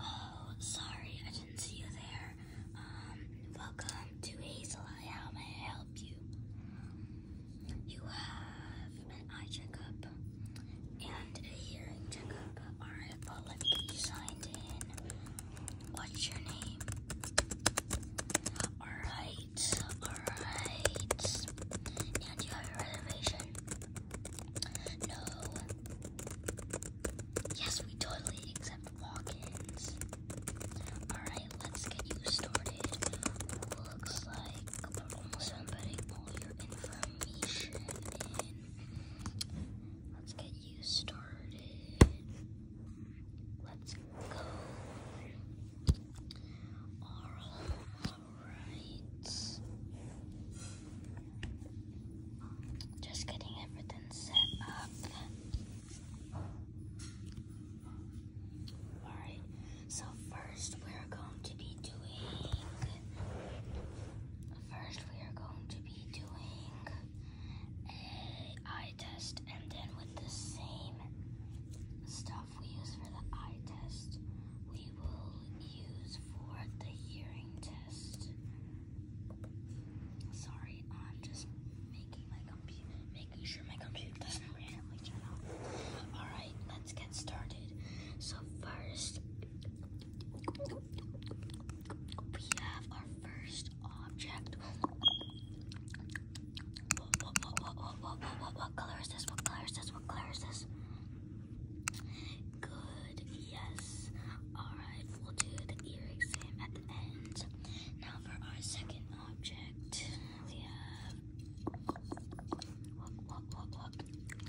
Oh, sorry, I didn't see you there. Um, welcome to Hazel. How may I help you? You have an eye checkup and a hearing checkup. Alright, well, let me get you signed in. What's your name? Alright, Alright, do you have a reservation? No. Yes, we totally accept walk ins. Alright, let's get you started. Looks like we're almost putting all your information in. Let's get you started. Let's all right. Just getting everything set up. All right. So first we're going to be doing First, we are going to be doing a uh, eye test and then with the same stuff we use for the eye test, we will use for the hearing test. Sorry, I'm just making my computer, making sure my computer doesn't randomly turn off. All right, let's get started. So first, we have our first object. What, color is this? What color is this? What color is this? Good, yes. Alright, we'll do the ear exam at the end. Now for our second object, we have.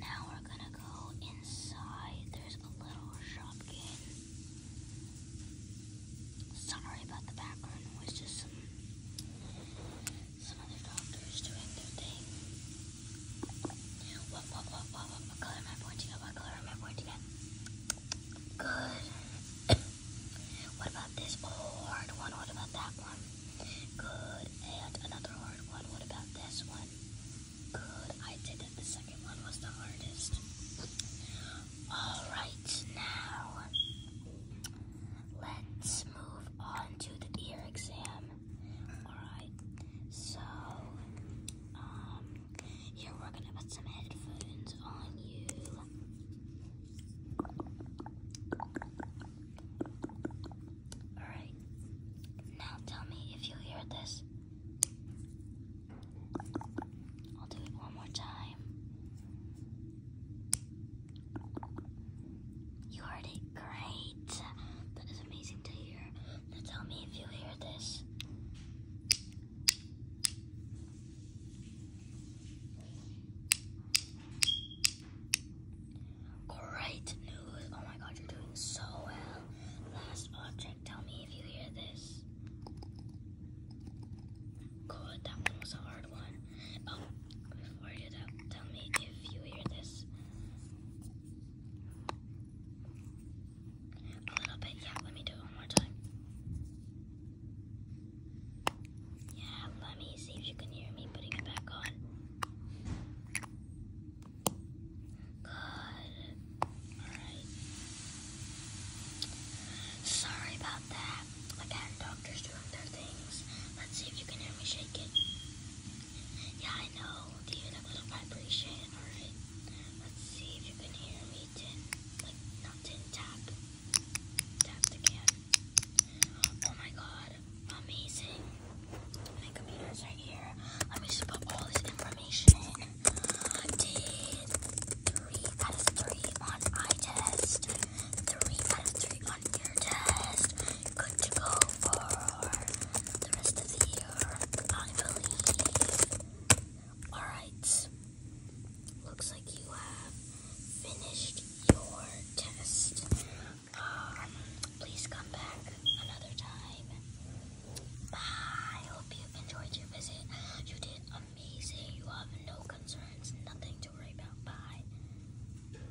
Now we're gonna go inside. There's a little shopkin. Sorry about the background noise, some other doctors doing their thing. color am I pointing color am I pointing Good. what about this hard one? What about that one? Good. And another hard one. What about this one? Good. I did that the second one was the hardest. Alright, now let's move on to the ear exam. Alright, so um, here we're gonna put some headphones on you. Alright, now tell me if you hear this. I'll do it one more time. You heard it great. That is amazing to hear. Now tell me if you hear this. Great news. Oh my god, you're doing so well. Last object, tell me if you hear this. Good, that one was a hard one. Oh, before you do tell me if you hear this. A little bit, yeah, let me do it one more time. Yeah, let me see if you can hear me putting it back on. Good. Alright. Sorry about that. Again, doctors doing their things. Let's see if you can hear me shake it. Yeah, I know. Do you a little vibration? Alright. Let's see if you can hear me like, not tin, tap. Tap the Oh my god. Amazing. My computer's right here. Let me just put all this information Did three out of three on eye test. Three out of three on ear test. Good to go for the rest of the year, I believe. Alright. Looks like you have finished your test. Um, please come back another time. Bye. I hope you enjoyed your visit. You did amazing. You have no concerns, nothing to worry about. Bye.